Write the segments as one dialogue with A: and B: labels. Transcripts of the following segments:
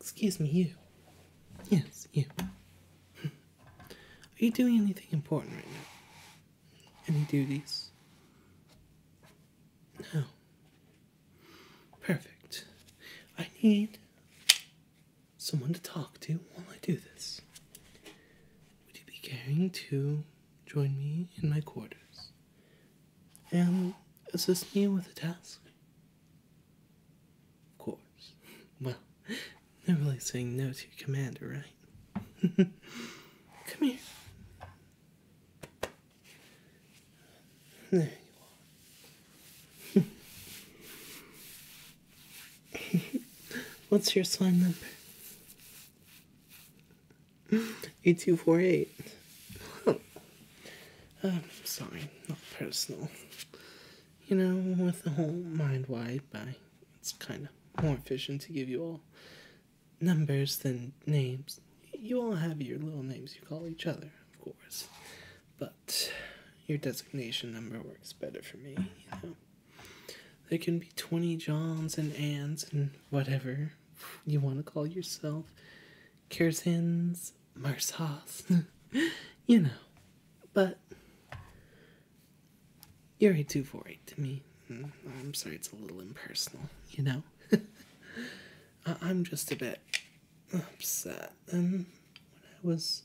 A: Excuse me, you. Yes, you. Are you doing anything important right now? Any duties? No. Perfect. I need someone to talk to while I do this. Would you be caring to join me in my quarters and assist me with a task? Of course. Well, never are saying no to your commander, right? Come here. There you are. What's your slime number? Eight two four um, sorry, not personal. You know, with the whole mind wide by, it's kind of more efficient to give you all numbers than names. You all have your little names you call each other, of course, but your designation number works better for me, you know. There can be 20 Johns and Anns and whatever you want to call yourself. Kersins, Marsas, you know. But you're a 248 to me. Mm, I'm sorry, it's a little impersonal, you know? I'm just a bit upset. And when I was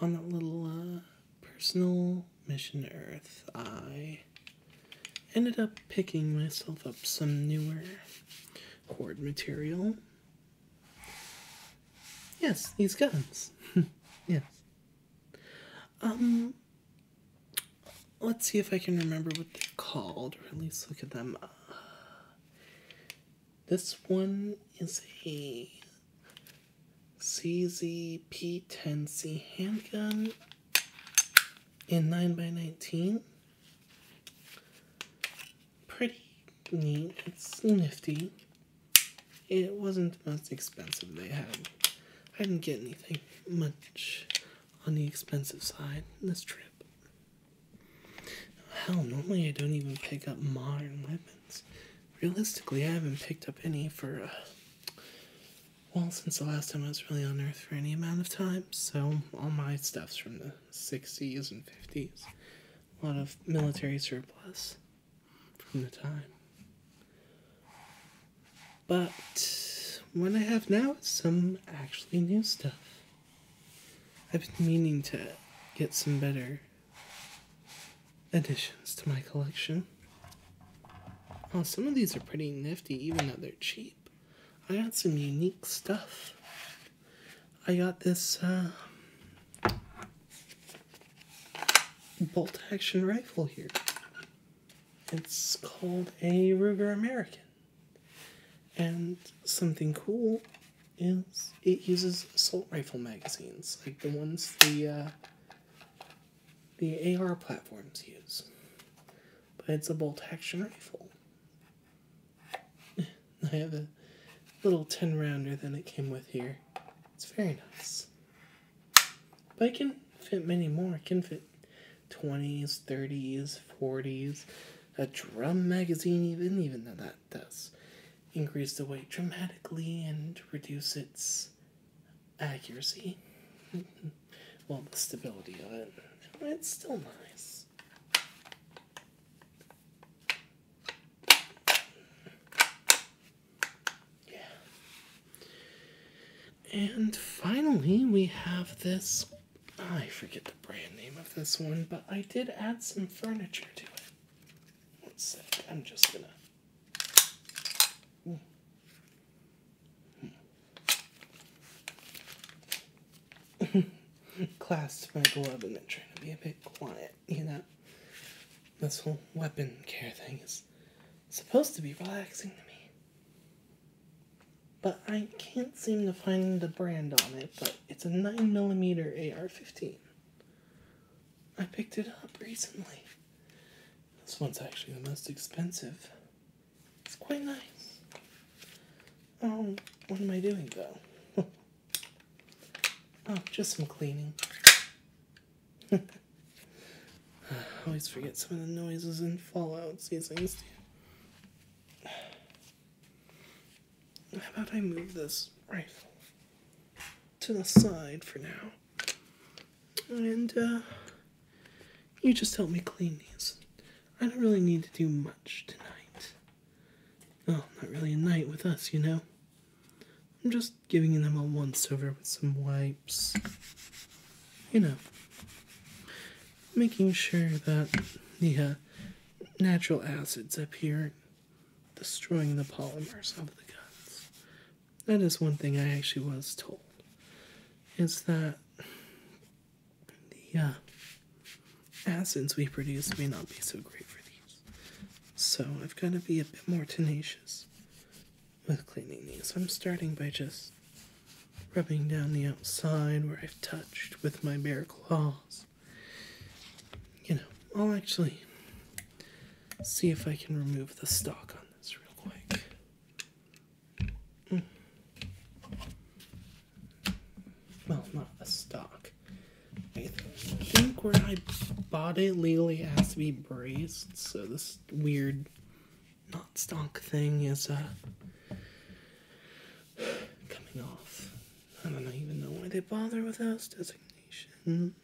A: on that little uh, personal mission to Earth, I ended up picking myself up some newer cord material. Yes, these guns. yes. Um, let's see if I can remember what they're called, or at least look at them. Uh, this one is a CZ P10C handgun in 9x19. Pretty neat. It's nifty. It wasn't the most expensive they had. I didn't get anything much on the expensive side this trip. Hell, normally I don't even pick up modern weapons. Realistically, I haven't picked up any for, uh, well, since the last time I was really on Earth for any amount of time, so all my stuff's from the 60s and 50s. A lot of military surplus from the time. But what I have now is some actually new stuff. I've been meaning to get some better additions to my collection. Oh, some of these are pretty nifty, even though they're cheap. I got some unique stuff. I got this uh, bolt action rifle here. It's called a Ruger American. And something cool is it uses assault rifle magazines, like the ones the uh, the AR platforms use, but it's a bolt action rifle. I have a little 10 rounder than it came with here. It's very nice. But I can fit many more. It can fit 20s, 30s, 40s, a drum magazine even, even though that does increase the weight dramatically and reduce its accuracy. well, the stability of it. It's still nice. Yeah. And finally, we have this. I forget the brand name of this one, but I did add some furniture to it. One sec, I'm just gonna. Clasped my glove and then trying to be a bit quiet, you know. This whole weapon care thing is supposed to be relaxing to me. But I can't seem to find the brand on it, but it's a 9mm AR 15. I picked it up recently. This one's actually the most expensive. It's quite nice. Oh, what am I doing though? oh, just some cleaning. I always forget some of the noises in Fallout seasons. How about I move this rifle to the side for now? And uh, you just help me clean these. I don't really need to do much tonight. Oh, not really a night with us, you know? I'm just giving them a once over with some wipes. You know, making sure that the uh, natural acids up here destroying the polymers of the guns that is one thing I actually was told is that the uh, acids we produce may not be so great for these. So I've got to be a bit more tenacious with cleaning these. I'm starting by just rubbing down the outside where I've touched with my bare claws. You know, I'll actually see if I can remove the stock on this real quick. Hmm. Well, not the stock. I think where I bought it legally has to be braced, so this weird not stock thing is uh, coming off. I don't even know why they bother with those designations.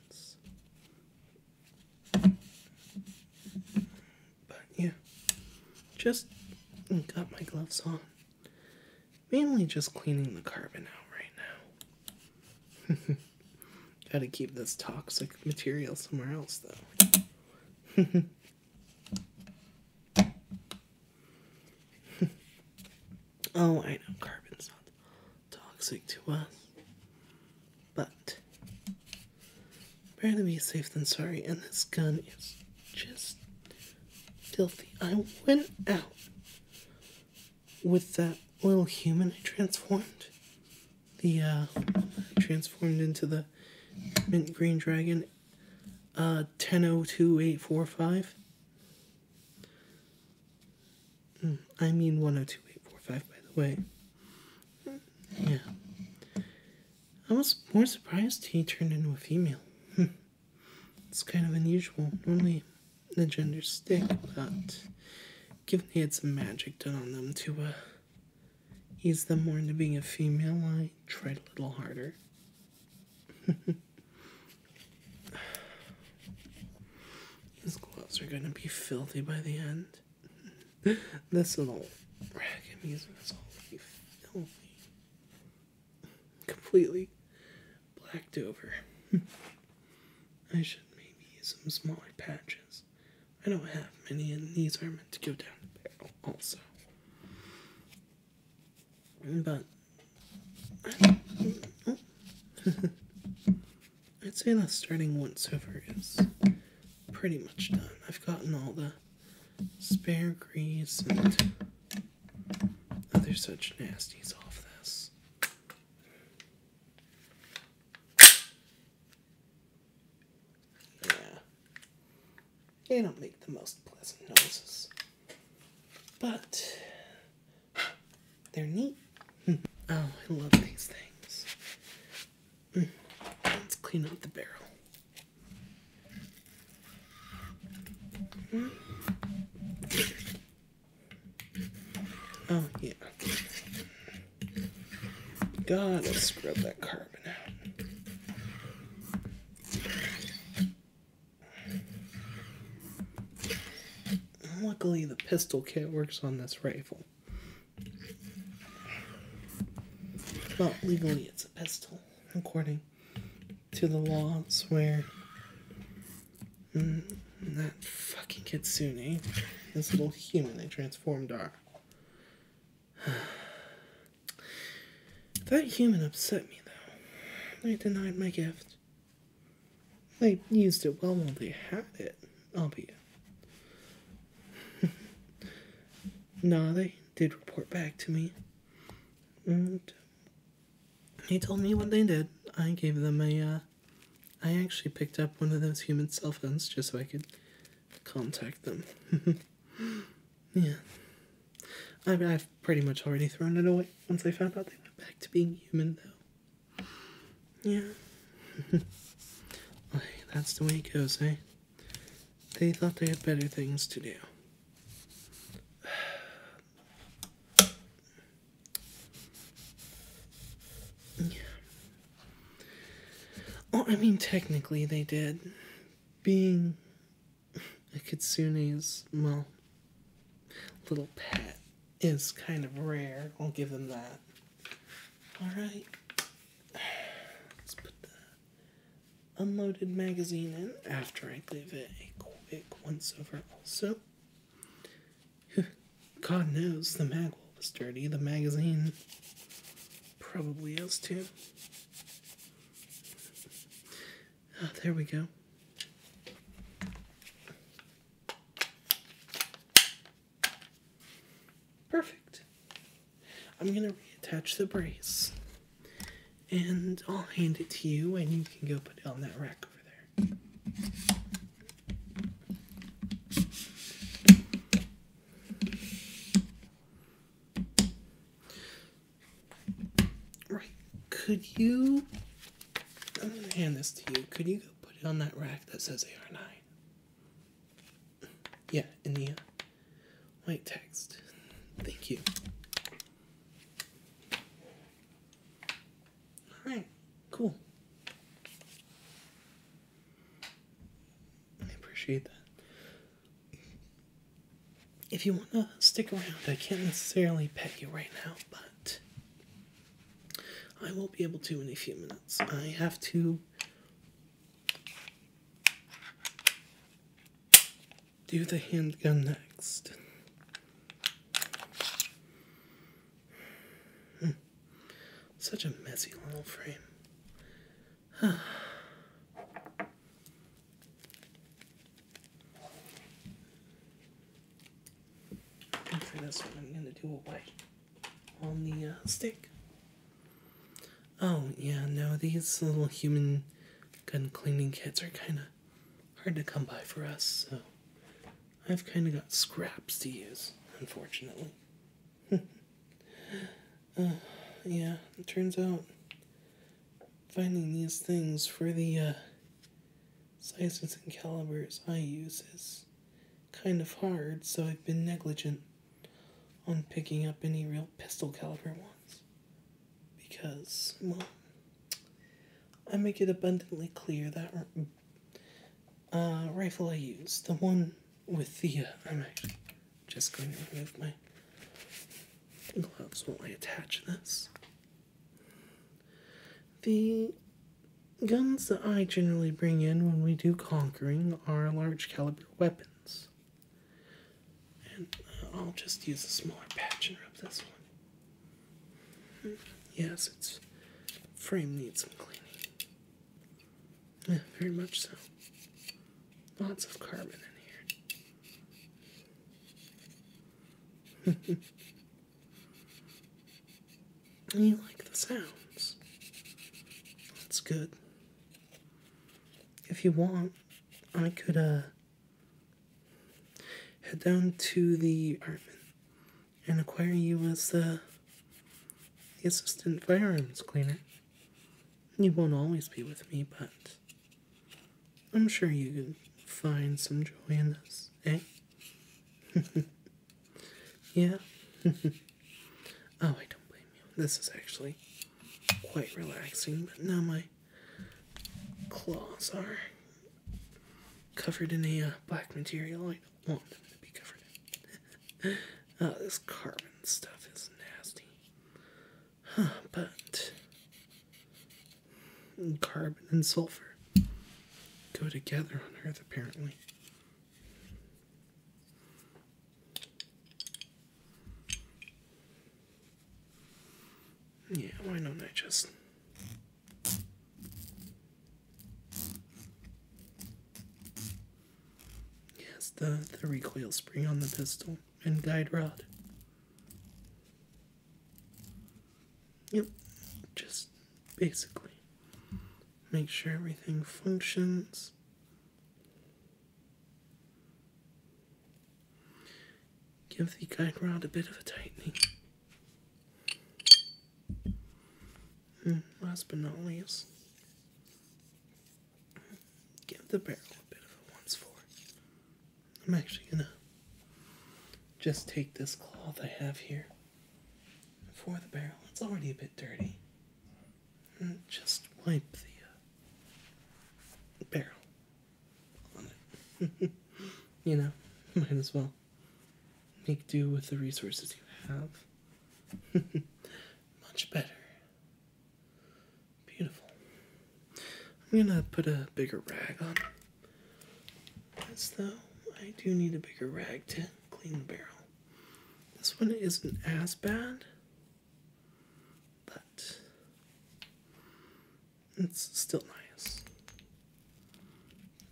A: But yeah, just got my gloves on. Mainly just cleaning the carbon out right now. Gotta keep this toxic material somewhere else, though. Oh, I know carbon's not toxic to us, but better to be safe than sorry. And this gun is just filthy. I went out with that little human I transformed. The uh, transformed into the mint green dragon. Uh, 100285 Hmm, I mean 102845, by the way. Hmm, yeah. I was more surprised he turned into a female. Hmm. it's kind of unusual. Normally, the genders stick, but given they had some magic done on them to uh, ease them more into being a female, I tried a little harder. These gloves are gonna be filthy by the end. this little rag is gonna be filthy. Completely blacked over. I should maybe use some smaller patches. I don't have many, and these are meant to go down the barrel also. But. I'd say that starting once over is pretty much done. I've gotten all the spare grease and other such nasties off this. Yeah. They don't make the most pleasant noises. But they're neat. Hmm. oh, I love these things. Hmm. Let's clean up the barrel. Hmm. Oh, yeah. Gotta scrub that carbon out. Luckily, the pistol kit works on this rifle. Well, legally, it's a pistol, according to the laws where mm, that fucking kitsune, eh? this little human they transformed, are. that human upset me, though. They denied my gift. They used it well while they had it, I'll be. No, they did report back to me. And he told me what they did. I gave them a. Uh, I actually picked up one of those human cell phones just so I could contact them. yeah. I I've pretty much already thrown it away once I found out they went back to being human, though. Yeah. that's the way it goes, eh? They thought they had better things to do. Oh, I mean, technically they did. Being a kitsune well, little pet is kind of rare. I'll give them that. Alright. Let's put the unloaded magazine in after I give it a quick once over, also. God knows the magwell was dirty. The magazine probably is too. Oh, there we go. Perfect. I'm going to reattach the brace and I'll hand it to you and you can go put it on that rack over there. Right, could you I'm gonna hand this to you. Could you go put it on that rack that says AR9? Yeah, in uh, white text. Thank you. Alright, cool. I appreciate that. If you want to stick around, I can't necessarily pet you right now, but I won't be able to in a few minutes. I have to do the handgun next. Hmm. Such a messy little frame. And for this one, I'm going to do a white on the uh, stick. Oh, yeah, no, these little human gun cleaning kits are kind of hard to come by for us, so I've kind of got scraps to use, unfortunately. Uh, yeah, it turns out finding these things for the uh, Sizes and calibers I use is kind of hard, so I've been negligent on picking up any real pistol caliber ones. Because, well, I make it abundantly clear that uh, rifle I use, the one with the. Uh, I'm actually just going to remove my gloves while I attach this. The guns that I generally bring in when we do conquering are large caliber weapons. And uh, I'll just use a smaller patch and rub this one. Yes, its frame needs some cleaning. very much so. Lots of carbon in here. you like the sounds. That's good. If you want, I could uh, head down to the apartment and acquire you as the assistant firearms cleaner. You won't always be with me, but I'm sure you can find some joy in this, eh? yeah? oh, I don't blame you. This is actually quite relaxing, but now my claws are covered in a uh, black material I don't want them to be covered in. Oh, this carbon stuff is nasty. Huh, but and carbon and sulfur go together on Earth, apparently. Yeah, why not I just. Yes, the, the recoil spring on the pistol and guide rod. Yep, just basically make sure everything functions. Give the guide rod a bit of a tightening. Mm, last but not least, give the barrel a bit of a once for. I'm actually gonna just take this cloth I have here for the barrel. It's already a bit dirty. just wipe the uh, barrel on it. you know, might as well make do with the resources you have. Much better. Beautiful. I'm gonna put a bigger rag on this though. I do need a bigger rag to clean the barrel. This one isn't as bad, but it's still nice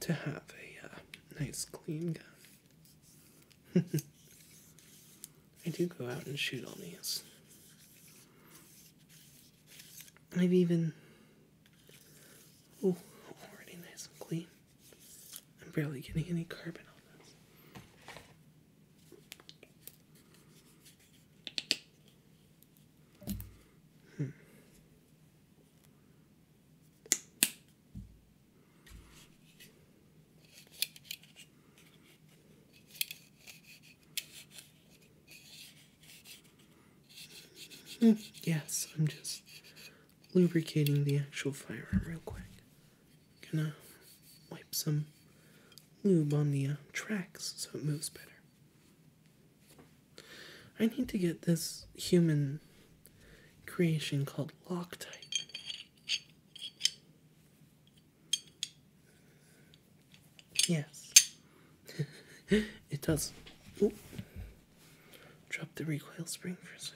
A: to have a uh, nice clean gun. I do go out and shoot on these. I've even Oh, already nice and clean. I'm barely getting any carbon on this. Hmm. Hmm, yes, I'm just lubricating the actual firearm real quick. Gonna wipe some lube on the uh, tracks so it moves better. I need to get this human creation called Loctite. Yes. it does. Ooh. Drop the recoil spring for a second.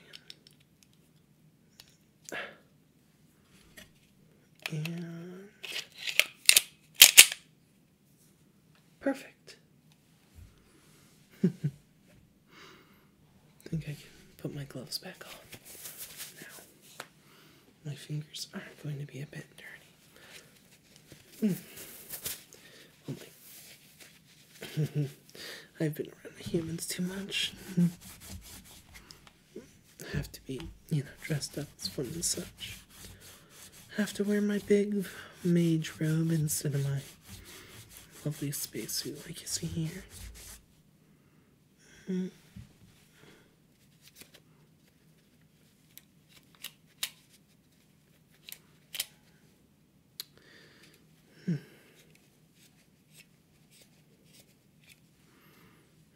A: perfect. I think I can put my gloves back on now. My fingers are going to be a bit dirty. Mm. I've been around humans too much. have to be, you know, dressed up as one and such. have to wear my big mage robe instead of my lovely spacesuit like you see here. Mm. Hmm.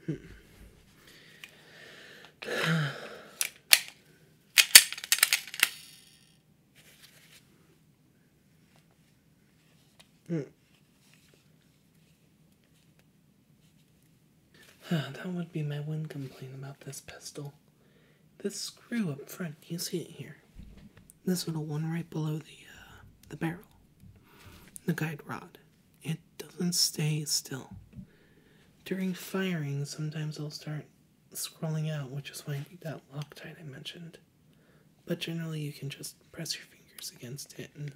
A: Hmm. hmm that would be my one complaint about this pistol. This screw up front, you see it here. This little one right below the uh, the barrel, the guide rod. It doesn't stay still. During firing, sometimes it will start scrolling out, which is why I need that Loctite I mentioned. But generally, you can just press your fingers against it and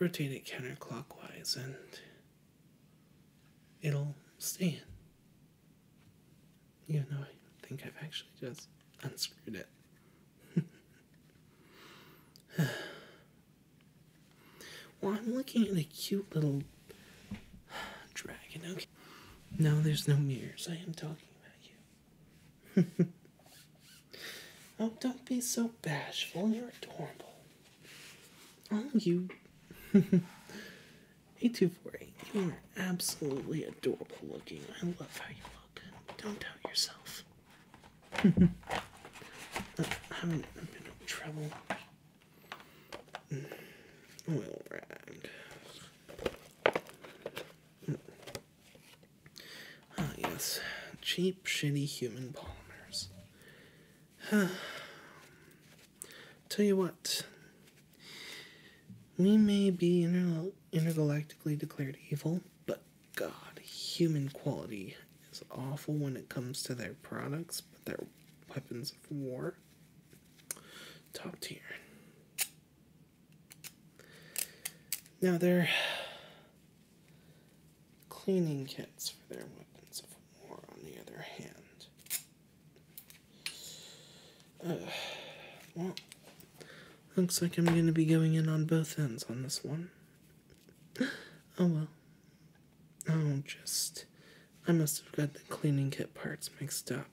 A: rotate it counterclockwise, and it'll stay in. Even though I think I've actually just unscrewed it. well, I'm looking at a cute little dragon. Okay. No, there's no mirrors. I am talking about you. oh, don't be so bashful. You're adorable. Oh, you. 8248, you are absolutely adorable looking. I love how you look. Don't doubt yourself. I haven't been in trouble. Mm. Oil rag. Mm. Ah, yes. Cheap, shitty human polymers. Tell you what, we may be intergalactically declared evil, but God, human quality is awful when it comes to their products, but their weapons of war, top tier. Now, they're cleaning kits for their weapons of war, on the other hand. Uh, well, looks like I'm going to be going in on both ends on this one. Oh well. Oh, just. I must have got the cleaning kit parts mixed up.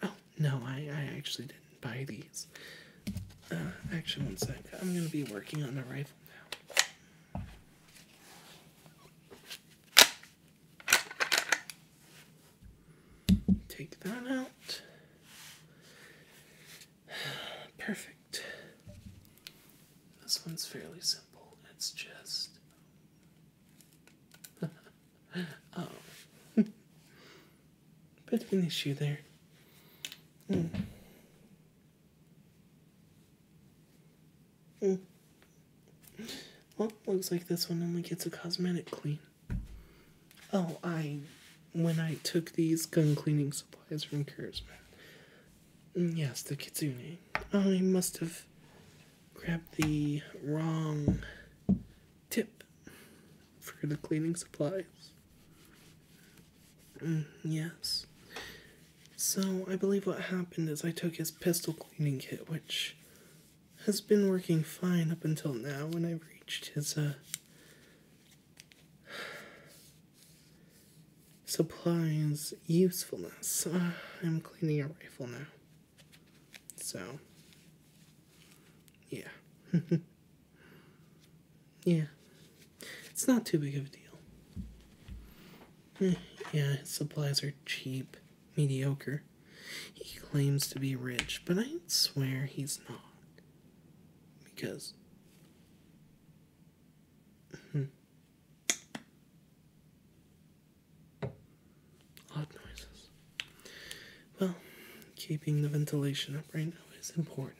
A: Oh, no, I, I actually didn't buy these. Uh, actually, one sec. I'm gonna be working on the rifle now. Take that out. Perfect. This one's fairly simple. It's just. oh. Bit of an issue there. Mm. Hmm. Well, looks like this one only gets a cosmetic clean. Oh, I. When I took these gun cleaning supplies from Kurzman. Mm, yes, the Kitzuni, I must have grabbed the wrong tip for the cleaning supplies. Mm, yes. So, I believe what happened is I took his pistol cleaning kit, which has been working fine up until now, When I reached his, uh, supplies usefulness. Uh, I'm cleaning a rifle now. So, yeah. yeah. It's not too big of a deal. Eh, yeah, his supplies are cheap, mediocre. He claims to be rich, but I swear he's not. Because. Hmm. Odd noises. Well, keeping the ventilation up right now is important.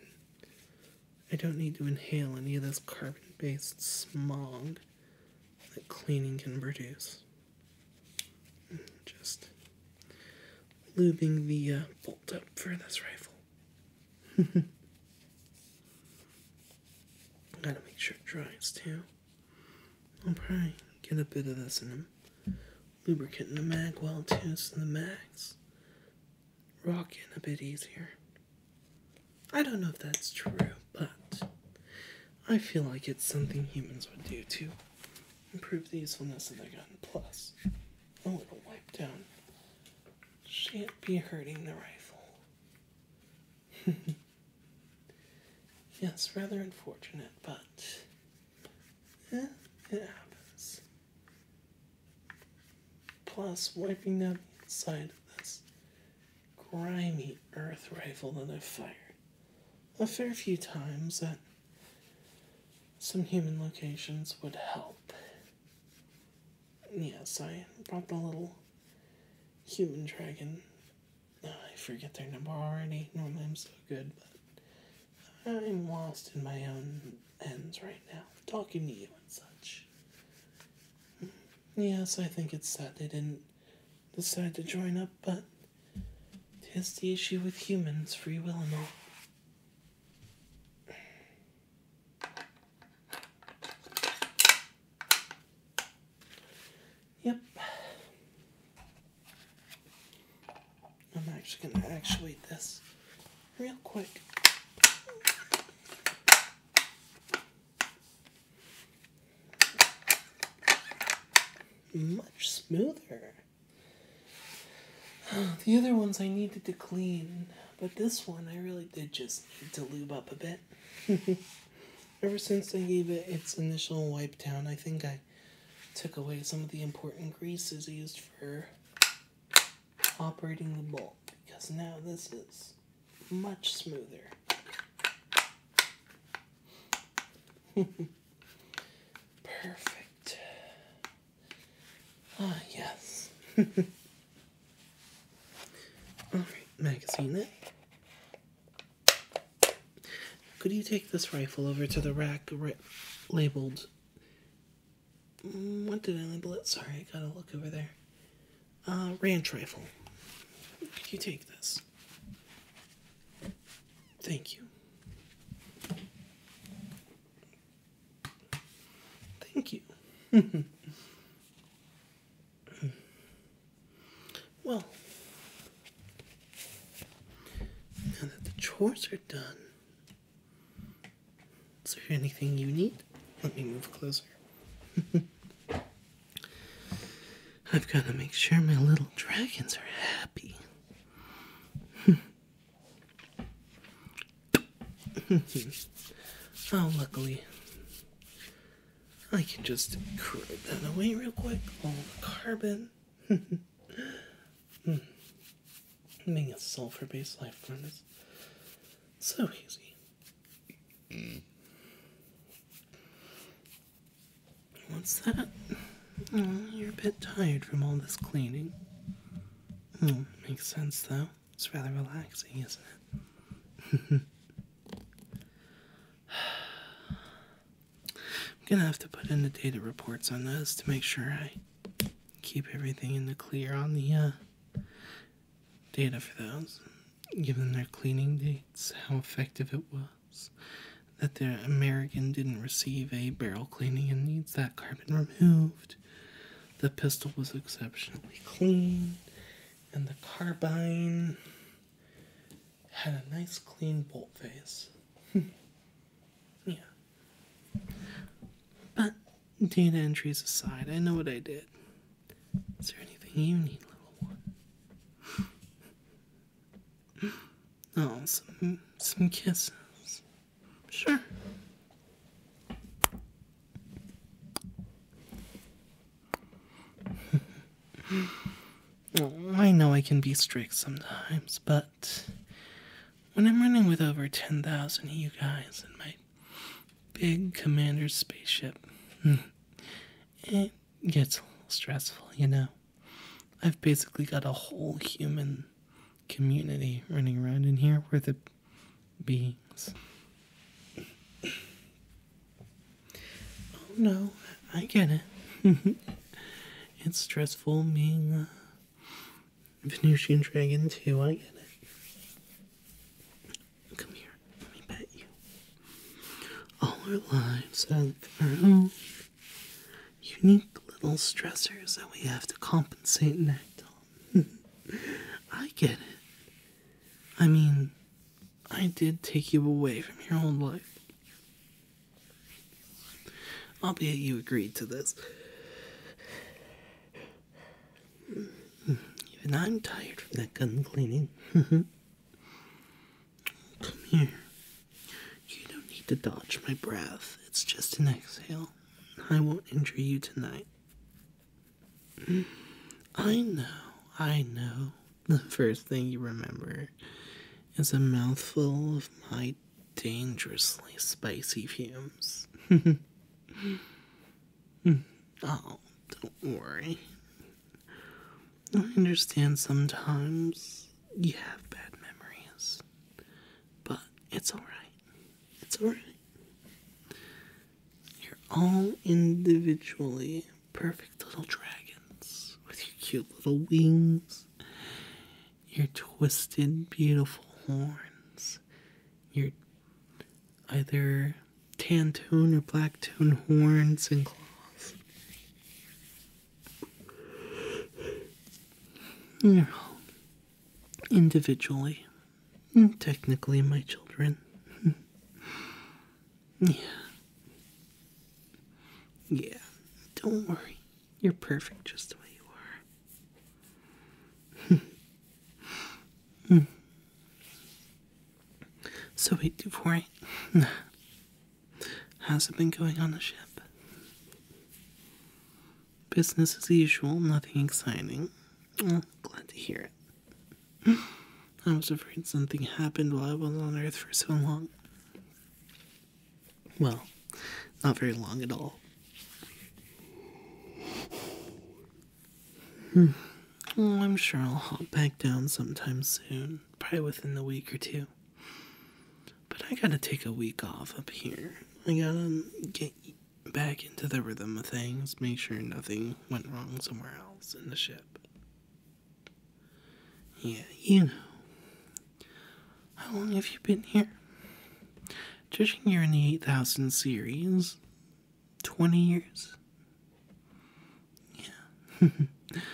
A: I don't need to inhale any of this carbon based smog that cleaning can produce. Just lubing the uh, bolt up for this rifle. Gotta make sure it dries too. I'll probably get a bit of this in a lubricant in the mag well too, so the mag's rocking a bit easier. I don't know if that's true, but I feel like it's something humans would do to improve the usefulness of the gun. Plus, a little wipe down shan't be hurting the rifle. yes, rather unfortunate, but eh, it happens. Plus, wiping down inside of this grimy earth rifle that i fired a fair few times at some human locations would help. Yes, I brought the little human dragon. Ah, I forget their number already. Normally I'm so good, but I'm lost in my own ends right now, talking to you and such. Hmm. Yes, I think it's sad they didn't decide to join up, but tis the issue with humans, free will and all. Yep. I'm actually going to actuate this real quick. Much smoother. The other ones I needed to clean, but this one I really did just need to lube up a bit. Ever since I gave it its initial wipe down, I think I took away some of the important greases used for operating the bolt because now this is much smoother. Perfect. Ah, yes. Alright, magazine Could you take this rifle over to the rack labeled what did I leave it? Sorry, I gotta look over there. Uh, ranch rifle. you take this? Thank you. Thank you. well, now that the chores are done, is there anything you need? Let me move closer. I've got to make sure my little dragons are happy. oh, luckily, I can just crud that away real quick. All the carbon. Making a sulfur based life furnace. So easy. Mm. What's that? Oh, you're a bit tired from all this cleaning. Oh, makes sense though. It's rather relaxing, isn't it? I'm gonna have to put in the data reports on this to make sure I keep everything in the clear on the uh, data for those, give them their cleaning dates, how effective it was, that the American didn't receive a barrel cleaning and needs that carbon removed. The pistol was exceptionally clean, and the carbine had a nice clean bolt face. Hmm. yeah. But Data entries aside, I know what I did. Is there anything you need, little one? Oh, some, some kisses. Sure. Oh, I know I can be strict sometimes, but when I'm running with over 10,000 of you guys, it my big commander's spaceship. Hmm. it gets a little stressful, you know. I've basically got a whole human community running around in here with the beings. oh no, I get it. it's stressful being uh, Venusian dragon too, I get it. Come here, let me pet you. All our lives have our own unique little stressors that we have to compensate and act on. I get it. I mean, I did take you away from your own life. Albeit you agreed to this. Even I'm tired from that gun cleaning. Come here. You don't need to dodge my breath. It's just an exhale. I won't injure you tonight. I know, I know. The first thing you remember is a mouthful of my dangerously spicy fumes. Mm. oh, don't worry. I understand sometimes you have bad memories, but it's alright. It's alright. You're all individually perfect little dragons with your cute little wings, your twisted, beautiful horns, you're either tan tone or black tone horns and claws. You're all individually, technically, my children. yeah. Yeah, don't worry. You're perfect just the way you are. so wait, Duvori, how's it been going on the ship? Business as usual, nothing exciting. Oh, glad to hear it. I was afraid something happened while I was on Earth for so long. Well, not very long at all, Hmm. I'm sure I'll hop back down sometime soon, probably within the week or two. But I gotta take a week off up here. I gotta get back into the rhythm of things, make sure nothing went wrong somewhere else in the ship. Yeah, you know. How long have you been here? Judging you in the 8000 series, 20 years? Yeah.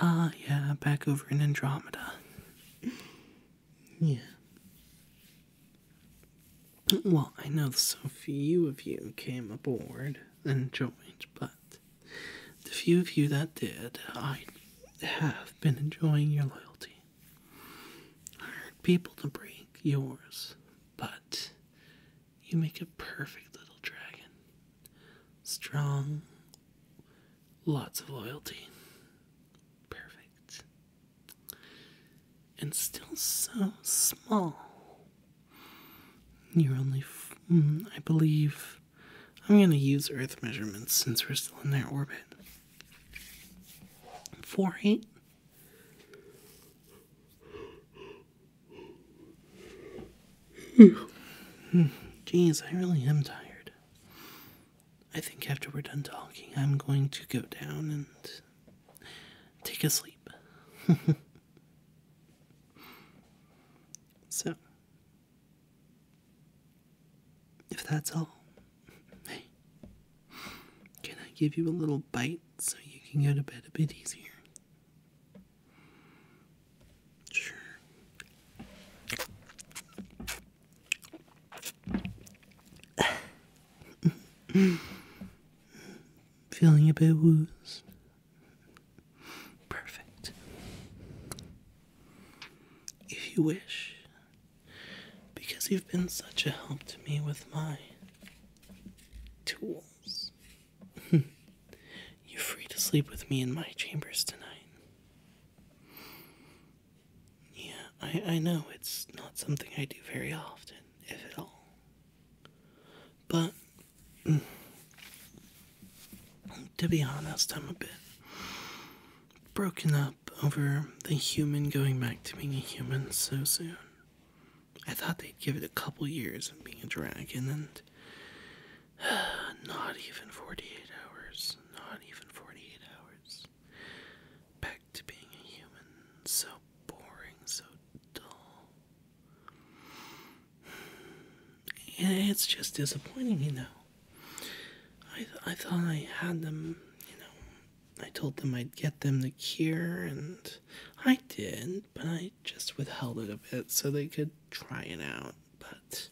A: Ah, yeah, back over in Andromeda. Yeah. Well, I know so few of you came aboard and joined, but the few of you that did, I have been enjoying your loyalty. Hard people to break yours, but you make a perfect little dragon. Strong, lots of loyalty. Perfect. And still so small. You're only, mm, I believe, I'm going to use Earth measurements since we're still in their orbit. Four eight. Jeez, I really am tired. I think after we're done talking, I'm going to go down and take a sleep. so, if that's all, can I give you a little bite so you can go to bed a bit easier? Sure. Feeling a bit woozed. Perfect. If you wish, because you've been such a help to me with my tools. You're free to sleep with me in my chambers tonight. Yeah, I, I know it's not something I do very often, if at all. But, mm, to be honest, I'm a bit broken up over the human going back to being a human so soon. I thought they'd give it a couple years of being a dragon and not even 48 hours, not even 48 hours. Back to being a human, so boring, so dull. And it's just disappointing, you know. I, I thought I had them, you know, I told them I'd get them the cure, and I did, but I just withheld it a bit so they could try it out. But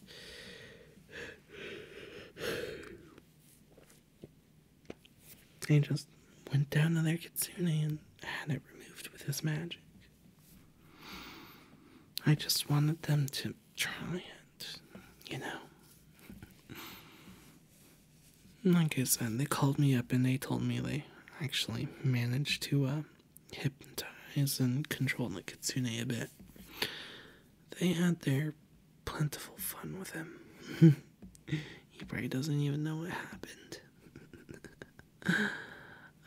A: they just went down to their kitsune and had it removed with his magic. I just wanted them to try it, you know. Like I said, they called me up and they told me they actually managed to uh, hypnotize and control the Kitsune a bit. They had their plentiful fun with him. he probably doesn't even know what happened.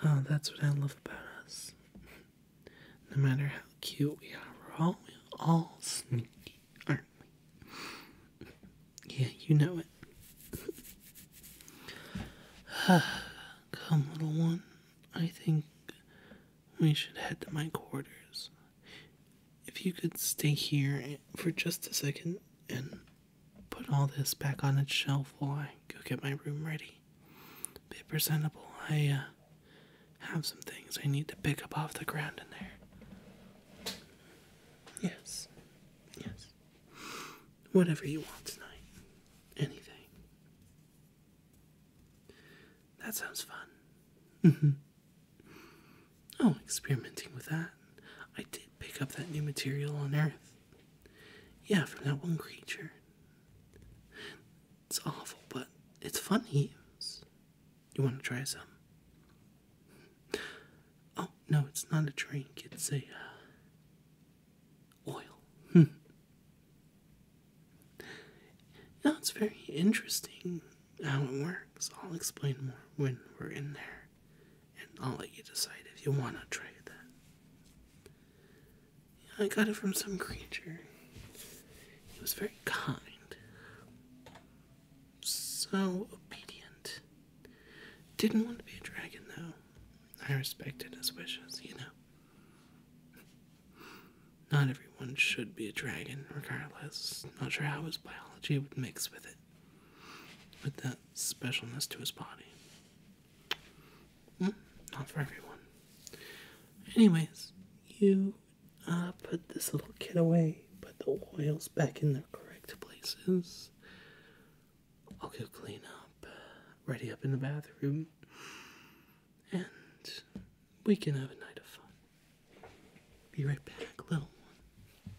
A: oh, that's what I love about us. No matter how cute we are, we're all, we're all sneaky you, Yeah, you know it. Come, little one. I think we should head to my quarters. If you could stay here for just a second and put all this back on its shelf while I go get my room ready. be presentable. I, uh, have some things I need to pick up off the ground in there. Yes. Yes. Whatever you want tonight. Anything. That sounds fun. Mm-hmm. Oh, experimenting with that. I did pick up that new material on Earth. Yeah, from that one creature. It's awful, but it's fun to use. You want to try some? Oh, no, it's not a drink. It's a uh, oil. That's very interesting how it works. I'll explain more when we're in there, and I'll let you decide if you want to try that. I got it from some creature. He was very kind, so obedient. Didn't want to be a dragon, though. I respected his wishes, you know. Not everyone should be a dragon, regardless. Not sure how his biology would mix with it, with that specialness to his body. Hmm, not for everyone. Anyways, you I'll ah, put this little kid away, put the oils back in their correct places. I'll go clean up, ready up in the bathroom, and we can have a night of fun. Be right back, little one.